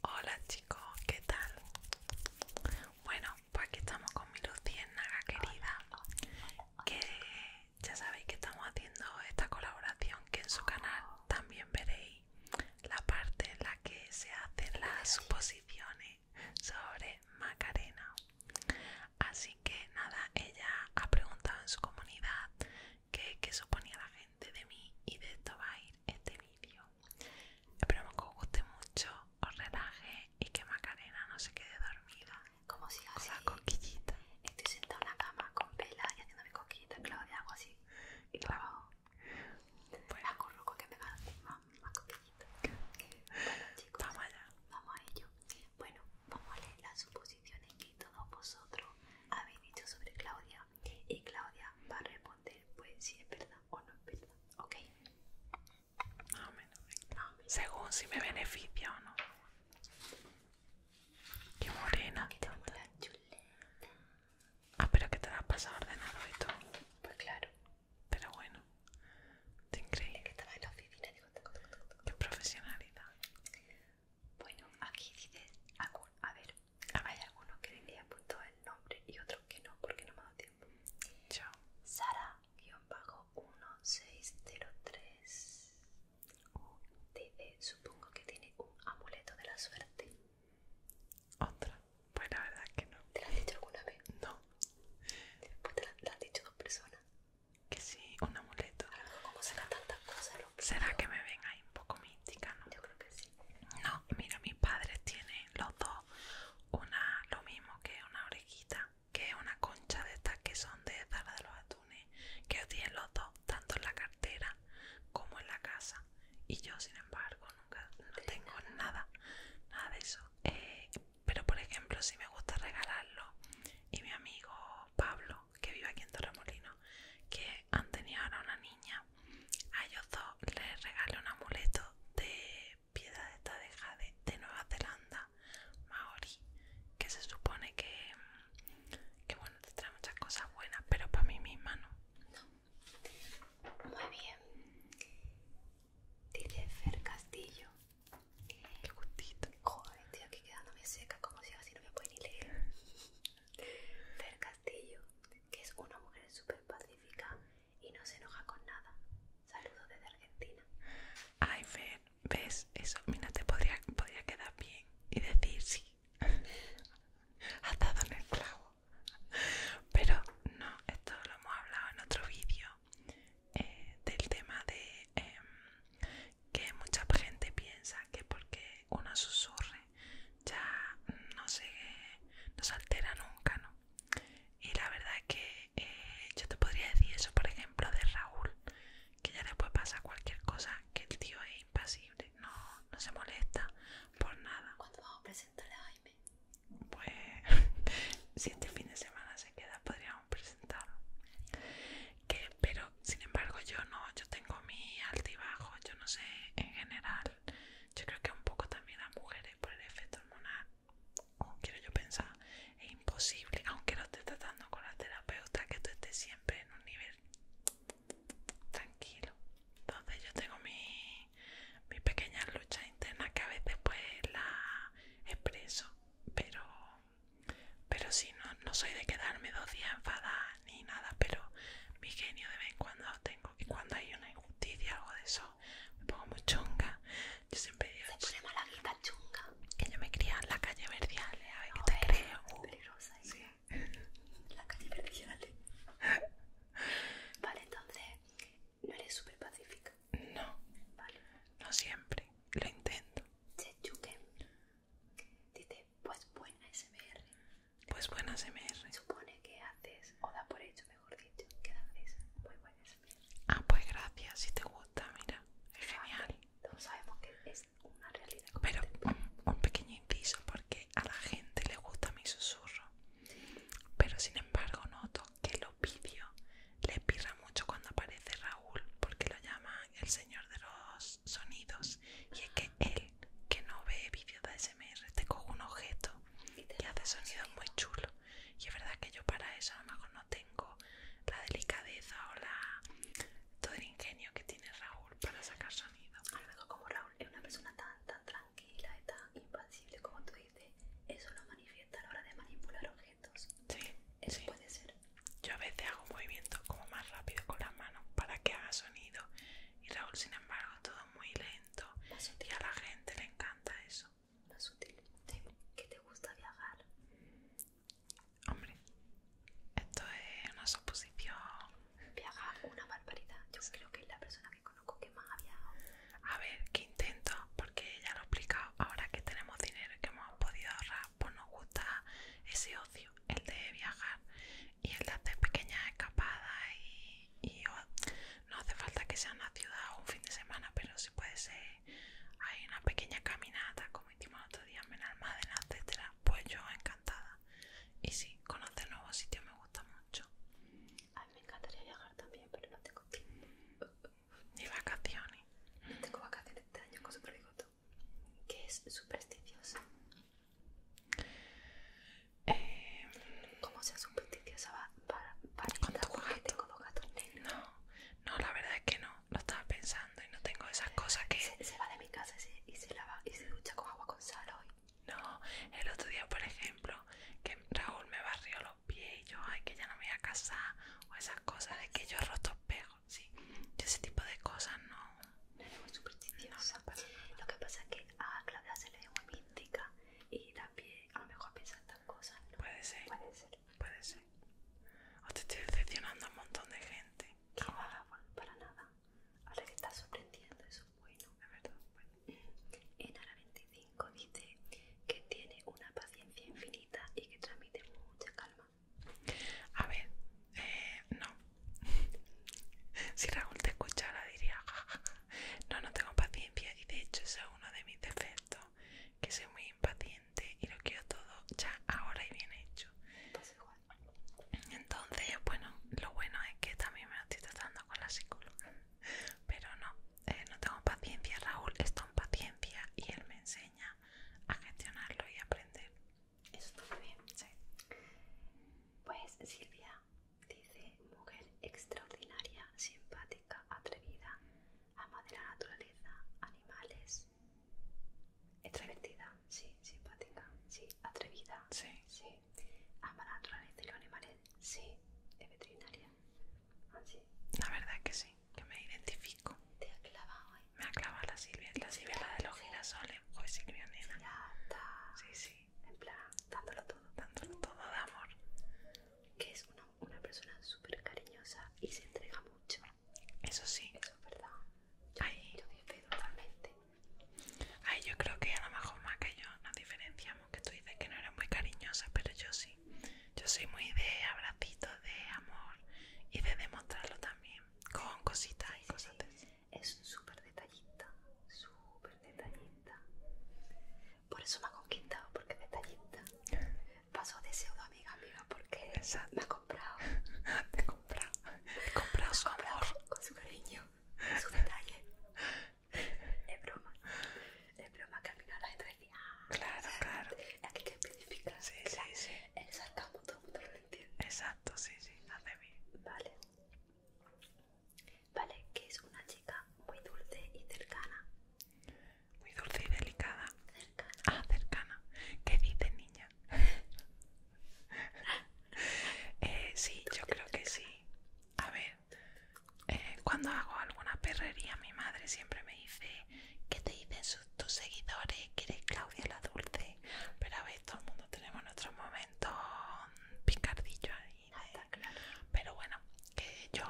Hola chicos, ¿qué tal? Bueno, pues aquí estamos con mi naga querida, que ya sabéis que estamos haciendo esta colaboración que en su canal también veréis la parte en la que se hacen las suposiciones sobre Macarena. Así que nada, ella ha preguntado en su comunidad qué, suponía la gente de mí y de esto va a ir este vídeo. Espero que os guste mucho, os relaje y que Macarena no se quede dormida. Como si así. O coquillitas. Estoy sentada en la cama con velas y haciendo haciéndome coquillitas, Claudia, hago así. Y claro. Pues la corroco que me va a hacer más, cosquillita vamos allá. Vamos a ello. Bueno, vamos a leer la suposición que todos vosotros habéis dicho sobre Claudia y Claudia va a responder pues si es verdad o no es verdad, ¿ok? según si me beneficia o no. Qué morena. Que chuleta. Ah, pero que te la has pasado ordenado y todo. Pues claro. Pero bueno, te increíble. que estaba en la oficina, Qué profesionalidad. Bueno, aquí dice, a ver, hay algunos que he puesto el nombre y otros que no, porque no me ha dado tiempo. Chao. Sara-1603 dice, supongo que tiene un amuleto de la suerte. Otra, pues la verdad que no. ¿Te lo has dicho alguna vez? No. Pues te la, han dicho dos personas que sí, un amuleto. será que me ven ahí un poco mística, no? Yo creo que sí. No, mira, mis padres tienen los dos una, lo mismo que una orejita, que es una concha de estas que son de Zara de los Atunes, que tienen los dos, tanto en la cartera como en la casa. Y yo, sin embargo, nunca no tengo nada, nada de eso. Eh, pero, por ejemplo, si me gusta regalarlo, y mi amigo Pablo, que vive aquí en Torremolino, que han tenido ahora una niña. A ellos dos les regalé un amuleto de piedra de esta de de Nueva Zelanda, Maori, que se supone que, que bueno, te trae muchas cosas buenas, pero para mí misma no. Muy bien. Dice Castillo, el gustito. Joder, estoy aquí quedándome seca como si no me pueden ni leer. Fer Castillo, que es una mujer súper pacífica y no se enoja con nada. Saludos desde Argentina. Ay, Fer, ¿ves? Eso, mira, te podría, podría quedar bien y decir sí. Has en el clavo. Pero no, esto lo hemos hablado en otro vídeo. Eh, del tema de em, que mucha gente piensa que porque uno susurre ya no se altera nunca, ¿no? Y la verdad es que eh, yo te podría decir eso, por ejemplo, de Raúl, que ya después pasa cualquier cosa, que el tío es impasible, no, no se molesta por nada. ¿Cuándo vamos a presentar a Jaime? Pues si este fin de semana se queda, podríamos presentarle pero sin embargo yo no yo tengo mi altibajo yo no sé en general yo creo que un poco también las mujeres por el efecto hormonal quiero yo pensar es imposible aunque lo esté tratando con la terapeuta que tú estés siempre en un nivel tranquilo entonces yo tengo mi, mi pequeña lucha interna que a veces pues la expreso pero pero si no, no soy de quedarme dos días enfadada ni nada, pero mi genio de vez en cuando tengo. Y cuando hay una injusticia o algo de eso, me pongo muy chunga. Yo siempre digo... Se pone malaguita chunga. Que yo me cría en la calle verdiale a ver qué te crees creo. ¿eh? sí. La calle verdiale vale, entonces, ¿no eres súper pacífica? No. No siempre. Lo intento. Sechuken dice, pues buena SMR. Pues buena SMR. Supone que haces, o da por hecho, mejor dicho, que haces muy buena SMR. Ah, pues gracias, si te gusta, mira, es genial. Todos sabemos que es una realidad. Pero un, pequeño inciso, porque a la gente le gusta mi susurro. Pero sin embargo noto que los vídeos le pirra mucho cuando aparece Raúl, porque lo llama el señor de los sonidos y es que él que no ve vídeos de ASMR te coge un objeto y, hace sonidos muy chulos y es verdad que yo para eso a lo mejor no tengo la delicadeza o todo el ingenio que tiene Raúl para sacar sonido a lo como Raúl es una persona tan tan tranquila y tan impasible como tú dices eso lo manifiesta a la hora de manipular objetos sí, eso puede ser yo a veces hago movimientos como más rápido con las manos para que haga sonido y Raúl sin embargo todo muy lento y a la gente le encanta eso. Más sutil. ¿Qué te gusta viajar? Hombre, esto es una suposición. Viajar una barbaridad. Yo creo que es la persona que conozco que más ha viajado. A ver, ¿qué intento? Porque ya lo he explicado. Ahora que tenemos dinero que hemos podido ahorrar, pues nos gusta ese ocio, el de viajar y el de hacer pequeñas escapadas y, no hace falta que sea una ciudad o un fin de semana, pero si puede ser hay una pequeña caminata como hicimos otro día en la etcétera, pues yo encantada. Y sí, conocer nuevos sitios me gusta mucho. A mí me encantaría viajar también, pero no tengo tiempo. Ni vacaciones. No tengo vacaciones este año con digo tú que es supersticiosa. Eh, ¿Cómo sea supersticiosa para, para con los gatos No, no, la verdad es que no, lo estaba pensando y no tengo esas cosas que... Se, va de mi casa y se, y se lava y se ducha con agua con sal hoy. No, el otro día, por ejemplo, que Raúl me barrió los pies y yo, ay, que ya no me voy a casar o esas cosas, de que yo roto espejo sí. Ese tipo de cosas no. No muy supersticiosa. lo que pasa es que a Claudia se le ve muy mística y también a lo mejor piensa en estas cosas. Puede ser. Puede ser. O te estoy decepcionando a un montón de gente. Que no para nada. Ahora que estás sorprendiendo, eso es bueno. Es verdad, bueno. Mm. En 25 dice que tiene una paciencia infinita y que transmite mucha calma a ver, eh, no. si Raúl te escuchara diría, no, no tengo paciencia y de hecho eso es uno de mis defectos, que soy muy impaciente y lo quiero todo ya ahora y bien hecho. Entonces, bueno, lo bueno es que también me estoy tratando con la psicóloga. Pero no, eh, no tengo paciencia, Raúl está en paciencia y él me enseña a gestionarlo y aprender. Eso está bien, Pues Silvia dice, mujer extraordinaria, simpática, atrevida, ama de la naturaleza, animales. Extrovertida, sí, simpática, sí, atrevida, sí, sí. Ama la naturaleza y los animales, sí, es veterinaria. Ah, sí La verdad que sí que me identifico. Te ha clavado Me ha clavado la Silvia, la Silvia la de los girasoles. Joder, Silvia, nena. Sí, sí. En plan, dándolo todo. Dándolo todo de amor. Que es una, persona súper cariñosa y se entrega mucho. Eso sí. Eso es verdad. Yo, yo creo que a lo mejor más que yo nos diferenciamos, que tú dices que no eres muy cariñosa, pero yo sí. Yo soy muy de abrazitos de amor y de demostrarlo también con cositas y cosas de un Es súper detallista, súper detallista. Por eso me ha conquistado, porque es detallista. Paso de pseudo amiga, amiga, porque me ha comprado. Te he comprado, he comprado su amor. Con, su cariño, con su detalle. Es broma, es broma que al final las Claro, claro. Aquí que especificar. Sí, sí, sí. Exacto, sí, sí, hace Vale. Vale, que es una chica muy dulce y cercana. Muy dulce y delicada. Cercana. Ah, cercana. ¿Qué dices, niña? Eh, sí, yo creo que sí. A ver, eh, cuando hago alguna perrería, mi madre siempre me dice, ¿qué te dicen tus, seguidores, que Claudia la Dulce. Pero a ver, todo el mundo tenemos nuestros momentos picardillos ahí. ¿eh? Ah, está claro. Pero bueno, que yo.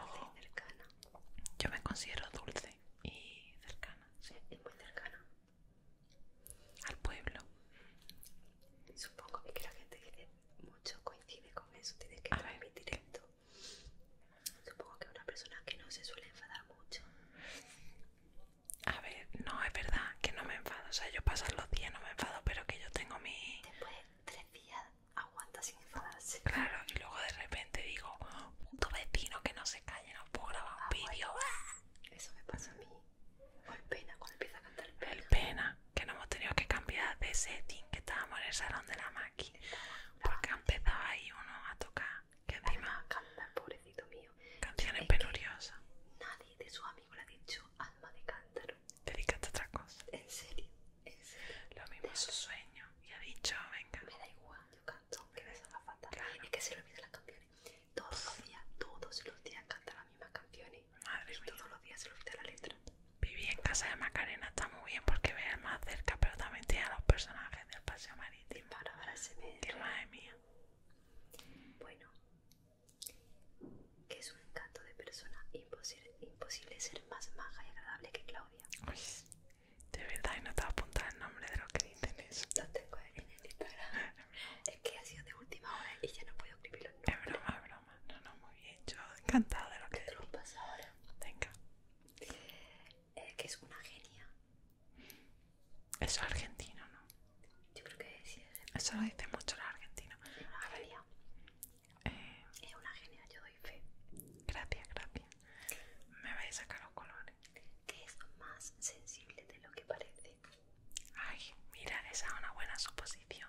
Yo me considero dulce y cercana. Sí, es muy cercana. Al pueblo. Supongo que la gente que mucho coincide con eso, tienes que mi directo Supongo que una persona que no se suele enfadar mucho. A ver, no, es verdad que no me enfado. O sea, yo paso los días, no me enfado, pero que yo tengo mi... Después de tres días aguanta sin enfadarse. Claro, y luego de repente digo, puto vecino que no se calle, no puedo grabar un ah, vídeo. Eso me pasa a mí. O pena, cuando empieza a cantar el pena. que no hemos tenido que cambiar de setting, que estábamos en el salón de la máquina. Porque empezaba empezado ahí uno a tocar que encima cantar, pobrecito mío. canción es Nadie de su amigo le ha dicho alma de cántaro. Dedícate otra cosa. En serio, en serio. Lo mismo es su sueño y ha dicho, venga. Me da igual, yo canto, que me salga fatal. Es que se le pide las canciones. Todos los días, todos los días canta las mismas canciones. Madre y todos los días se le olvida la letra. Viví en casa de Macarena, está muy bien porque ve más cerca, pero también tiene a los personajes del Paseo María para palabras en Madre mía. Bueno, que es un encanto de persona imposible, ser más maja y agradable que Claudia. Uy, de verdad, y no te apuntar el nombre de lo que dicen eso. Lo tengo en Instagram. es que ha sido de última hora y ya no puedo escribir los nombres. Es broma, es broma. No, no, muy bien. Yo encantada de lo que dicen te pasa ahora? Venga. Eh, que es una genia. Eso es argentino, ¿no? Yo creo que sí es argentino. Eso lo dicen mucho los argentinos. A ah, eh, es una genia, yo doy fe. Gracias, gracias. Me vais a sacar los colores. Que es más sensible de lo que parece. Ay, mira, esa es una buena suposición.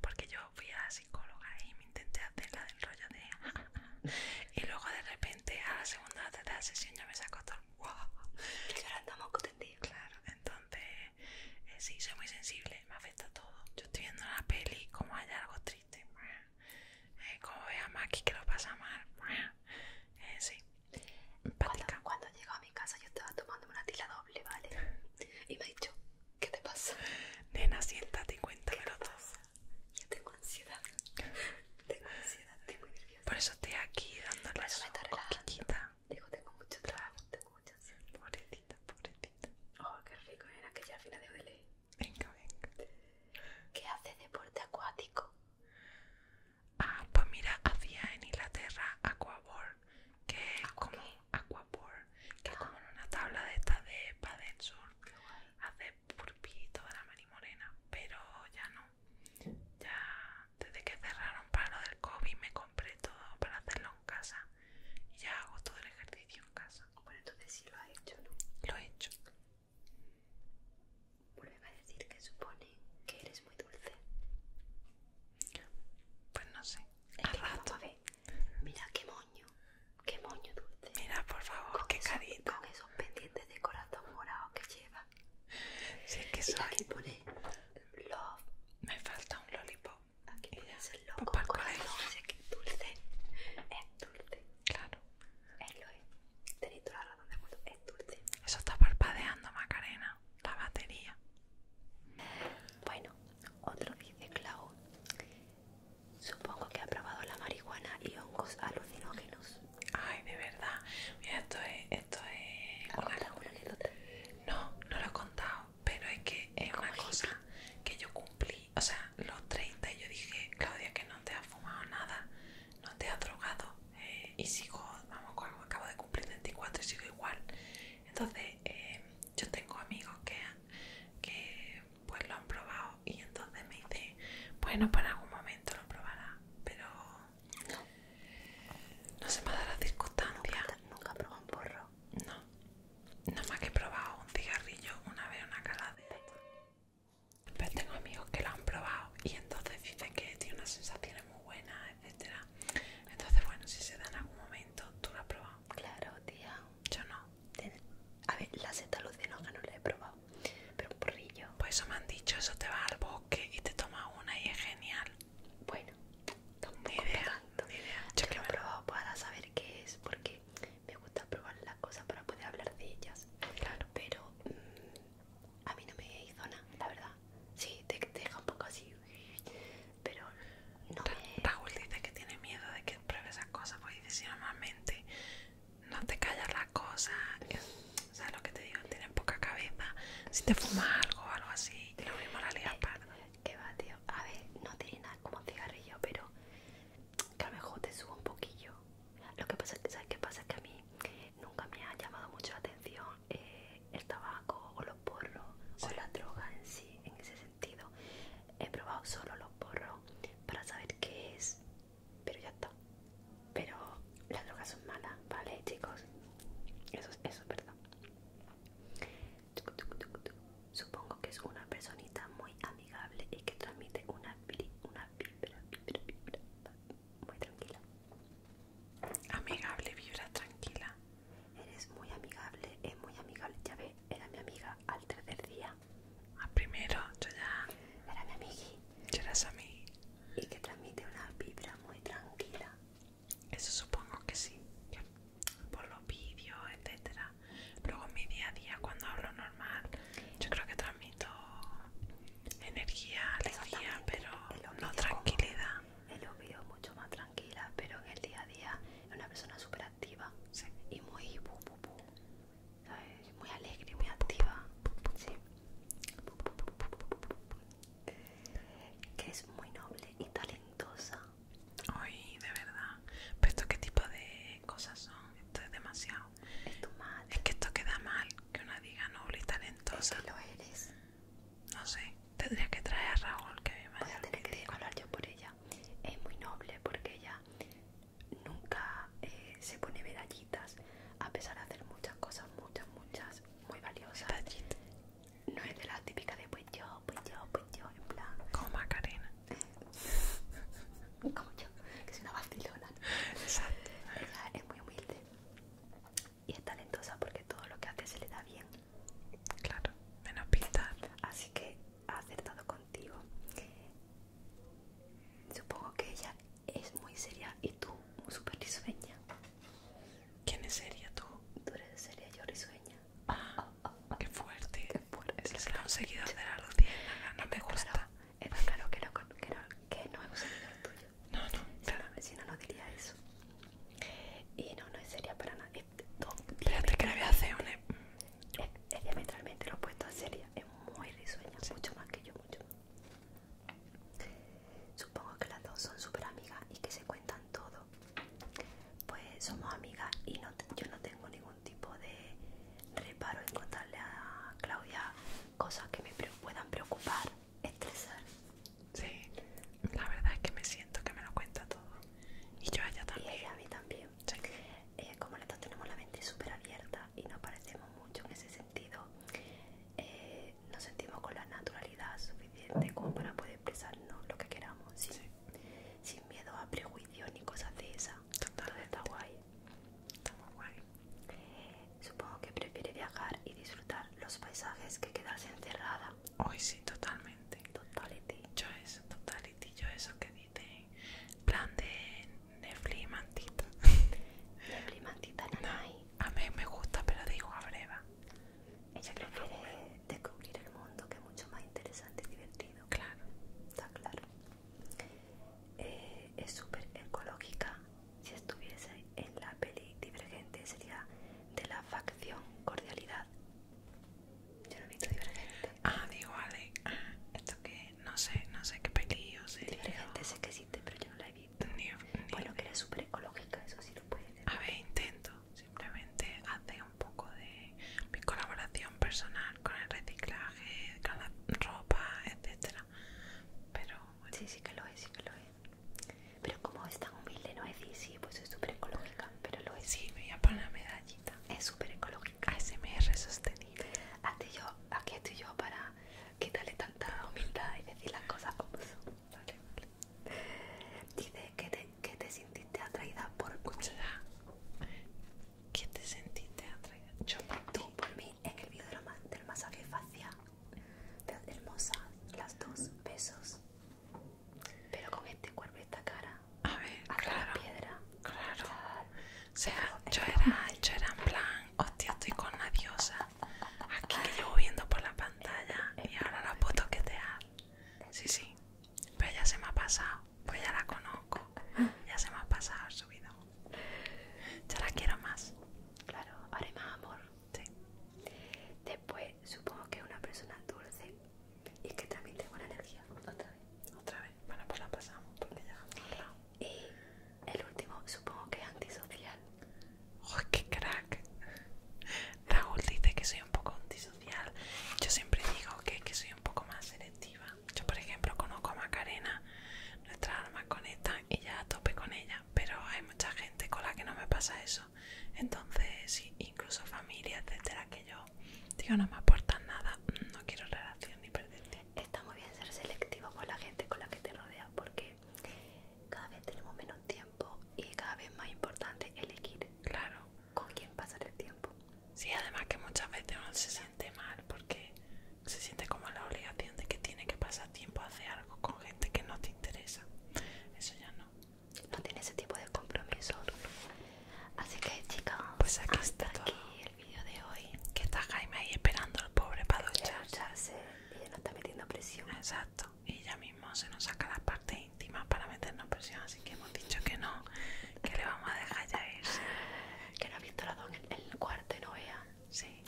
Porque yo fui a la psicóloga y me intenté hacer la del rollo de... y luego de repente a la segunda o tercera sesión ya me sacó todo Y ahora andamos contendidos Claro, entonces eh, sí, soy muy sensible, me afecta todo. Yo estoy viendo la peli como hay algo triste, eh, como ve a Maki que lo pasa mal, eh, sí. Cuando, cuando llego a mi casa yo estaba tomando una tila doble, ¿vale? Y me ha dicho, ¿qué te pasa? Nena, siéntate y cuéntamelo todo. Yo tengo ansiedad. tengo ansiedad, muy nerviosa. Por eso estoy aquí dándole la coquillita. Digo, tengo mucho trabajo, tengo mucha ansiedad. Pobrecita, pobrecita. Oh, qué rico, era que ya al final de hoy Venga, venga. ¿Qué hace deporte acuático? Ah, pues mira, hacía en Inglaterra aqua ¿Ah, que es como aquaboard, ah. que es como en una tabla de esta de paddle surf. Hace pulpito de la marimorena, pero ya no. Ya desde que cerraron para lo del COVID me compré todo para hacerlo en casa y ya hago todo el ejercicio en casa. Bueno, entonces sí lo has hecho, ¿no? Lo he hecho. Vuelve a decir que supone que eres muy dulce. Pues no sé. Al rato. mira qué moño, qué moño dulce. Mira, por favor, qué pendientes este de corazón morado que lleva. es que soy. Y aquí pone love. Me falta un lollipop. Aquí es el loco con corazón, Es que es dulce. Es dulce. Claro. Es lo es. Tenéis toda la razón de Es dulce. Eso está parpadeando, Macarena. La batería. Bueno, otro dice Cloud. Supongo que ha probado la marihuana y hongos alucinógenos. Ay, de verdad. Mira, esto es... Esto es No, no lo he contado, pero es que es una cosa que yo cumplí. O sea, los 30 yo dije, Claudia, que no te has fumado nada, no te has drogado. Eh, y sigo, vamos, acabo de cumplir 24 y sigo igual. Entonces, eh, yo tengo amigos que, que pues lo han probado y entonces me dice, bueno, pues en algún momento lo probará, pero no, se me ha dado la circunstancia. Nunca he probado un porro. No, nada más que he probado un cigarrillo una vez, una cala Pero tengo amigos que lo han probado y entonces dicen que tiene unas sensaciones muy buenas, etc. Entonces, bueno, si se da en algún momento, tú lo has probado. Claro, tía. Yo no. A ver, la seta que no la he probado pero un porrillo. Pues eso me han dicho, eso te va al bosque y te toma una y es genial. Bueno, tampoco ni idea, ni idea. Yo, que he probado para saber qué es, porque me gusta probar las cosas para poder hablar de ellas. Claro. Pero mm, a mí no me hizo nada, la verdad. Sí, te, deja un poco así, pero no me... Raúl dice que tiene miedo de que pruebe esas cosas, porque dice si normalmente no te callas las cosas, ¿Sabes lo que te digo? Tienes poca cabeza. Si te fumas algo o algo así, lo mismo la lias eh, pardo. ¿Qué eh, va, tío. A ver, no tiene nada como cigarrillo, pero que a lo mejor te suba un poquillo. Lo que pasa es que, ¿sabes qué pasa? que a mí nunca me ha llamado mucho la atención eh, el tabaco o los porros o la droga en sí, en ese sentido. He probado solo los porros para saber qué es pero ya está. Pero las drogas son malas, ¿vale, chicos? Eso, eso es verdad. Supongo que es una personita muy amigable y que transmite una, una vibra, vibra, vibra muy tranquila. Amigable, vibra tranquila. Eres muy amigable, es muy amigable. Ya ve, era mi amiga al tercer día a ah, primero, yo ya... Era mi amigui. eras a Y que transmite una vibra muy tranquila. Eso supongo que sí. Por los vídeos, etcétera. Luego en mi día a día, cuando hablo normal, yo creo que transmito energía, alegría, pero no tranquilidad. En los vídeos mucho más tranquila, pero en el día a día es una persona súper activa sí. y muy muy alegre, muy activa, sí. que es muy noble y talentosa. Uy, de verdad. Pero esto qué tipo de cosas son, esto es demasiado. Es que esto queda mal, que una diga noble y talentosa. lo eres. No sé, tendría que traer a Raúl que me Voy a tener que hablar yo por ella. Es muy noble porque ella nunca eh, se pone medallitas a pesar de hacer muchas cosas, muchas, muchas, muy valiosas. No es de la típica de pues yo, pues yo, pues yo, en plan. Como Macarena. Como yo, que es una vacilona. Exacto. es muy humilde y es talentosa porque todo lo que hace se le da bien. Claro, menos pintar. Así que ha acertado con Supongo que ella es muy seria y tú súper risueña. ¿Quién es seria tú? Tú eres seria, yo risueña. Ah, qué fuerte. Qué fuerte. Es la no hacer de los rutina, no me gusta. Era claro, que, no, que, no, que es un tuyo. No, no. Si no, no diría eso. Y no, no es seria para nada. Espérate que le voy a hacer un... E- es diametralmente lo opuesto a seria es muy risueña, mucho más que yo, mucho más. Supongo que las dos son súper amigas y que se cuentan todo. Pues somos amigas y yo no tengo ningún tipo de reparo en contarle a Claudia cosas que me puedan preocupar, estresar. Sí, la verdad es que me siento que me lo cuenta todo. Y yo a ella también. Eh, como nosotros tenemos la mente súper abierta y no parecemos mucho en ese sentido, eh, nos sentimos con la naturalidad suficiente como para poder expresarnos lo que queramos, sin, miedo a prejuicios ni cosas de esa Totalmente. de está guay. Está muy guay. Supongo que prefiere viajar y disfrutar los paisajes que quedarse encerrada. Hoy sí, totalmente. Totality. Yo eso, totality. Yo eso que de plan de Netflix mantita. Netflix mantita nanay. a mí me gusta, pero digo a breva. Ella prefiere descubrir el mundo, que es mucho más interesante y divertido. Claro. Está claro. Eh, es súper ecológica. Si estuviese en la peli Divergente sería de la facción Cordialidad. Yo no he visto Divergente. Ah, digo, vale. Ah, que no sé, no sé qué pelillos es La gente sé que existe, pero yo no la he visto. bueno, que era súper ecológica, eso sí lo puede A ver, intento simplemente hace un poco de mi colaboración personal con el reciclaje, con la ropa, etcétera. Pero Sí, sí que lo es, sí que lo es. Pero como es tan humilde, no es decir, sí, pues es súper ecológica, pero lo es. Sí, me voy a poner una medallita. Es súper ecológica. ASMR sostenible. Aquí estoy yo para quítale tanta humildad y decir las cosas como son. Dice que te, que sentiste atraída por Escucha, ¿qué te sentiste atraída. Yo por Tú, por mí, en el video del, masaje facial. te hermosa, las dos, besos. Pero con este cuerpo y esta cara. A ver, a la Piedra. Claro. O sea, yo era, yo era en plan, hostia, oh, estoy con la diosa. Aquí que viendo por la pantalla y ahora la puedo toquetear. Sí, sí, pero ya se me ha pasado, pues ya la conozco. Ah. Ya se me ha pasado su vida. Ya la quiero más. Claro, ahora hay más amor. Sí. Después, supongo que es una persona dulce y que también tengo buena energía. Otra vez. Otra vez. Bueno, pues la pasamos porque ya y el último, supongo que es antisocial. ¡Oh, qué crack! Raúl dice que soy un poco antisocial. Yo siempre digo que, soy un poco más selectiva. Yo, por ejemplo, conozco a Macarena, nuestra alma conectan y ya tope con ella. Pero hay mucha gente con la que no me pasa eso. Entonces, incluso familia, etcétera, que yo digo no me aportan nada. No quiero relación ni perder está muy bien ser selectivo con la gente con la que te rodea porque cada vez tenemos menos tiempo y cada vez más importante elegir claro con quién pasar el tiempo sí además que muchas veces uno se siente mal porque se siente como la obligación de que tiene que pasar tiempo a hacer algo con gente que no te interesa eso ya no no tiene ese tipo de compromiso así que chicas pues aquí está vídeo de hoy. Que está Jaime ahí esperando al pobre para ducharse. Ella no está metiendo presión. Exacto. Y ella mismo se nos saca las partes íntimas para meternos presión. Así que hemos dicho que no, que le vamos a dejar ya irse. Que no ha visto el cuarto y no vea. Sí.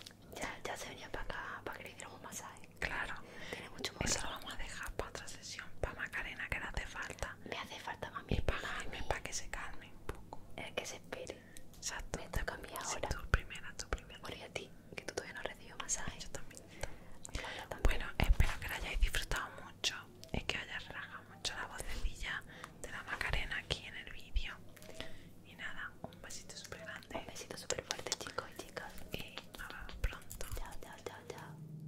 Ya, se venía para acá para que le hiciéramos un masaje. Claro. Tiene mucho Eso lo vamos a dejar para otra sesión. Para Macarena, que le hace falta. Me hace falta Y para Jaime, para que se calme un poco. que se espere madre. Exacto. Me tu primera, tu primera. Bueno, a ti, que tú todavía no recibido masaje. Yo también. Bueno, espero que la hayáis disfrutado mucho. Es que hayas relajado mucho la vocecilla de la Macarena aquí en el vídeo. Y nada, un besito super grande. Un besito súper fuerte, chicos y chicas. Y nos vemos pronto. chao, chao, chao.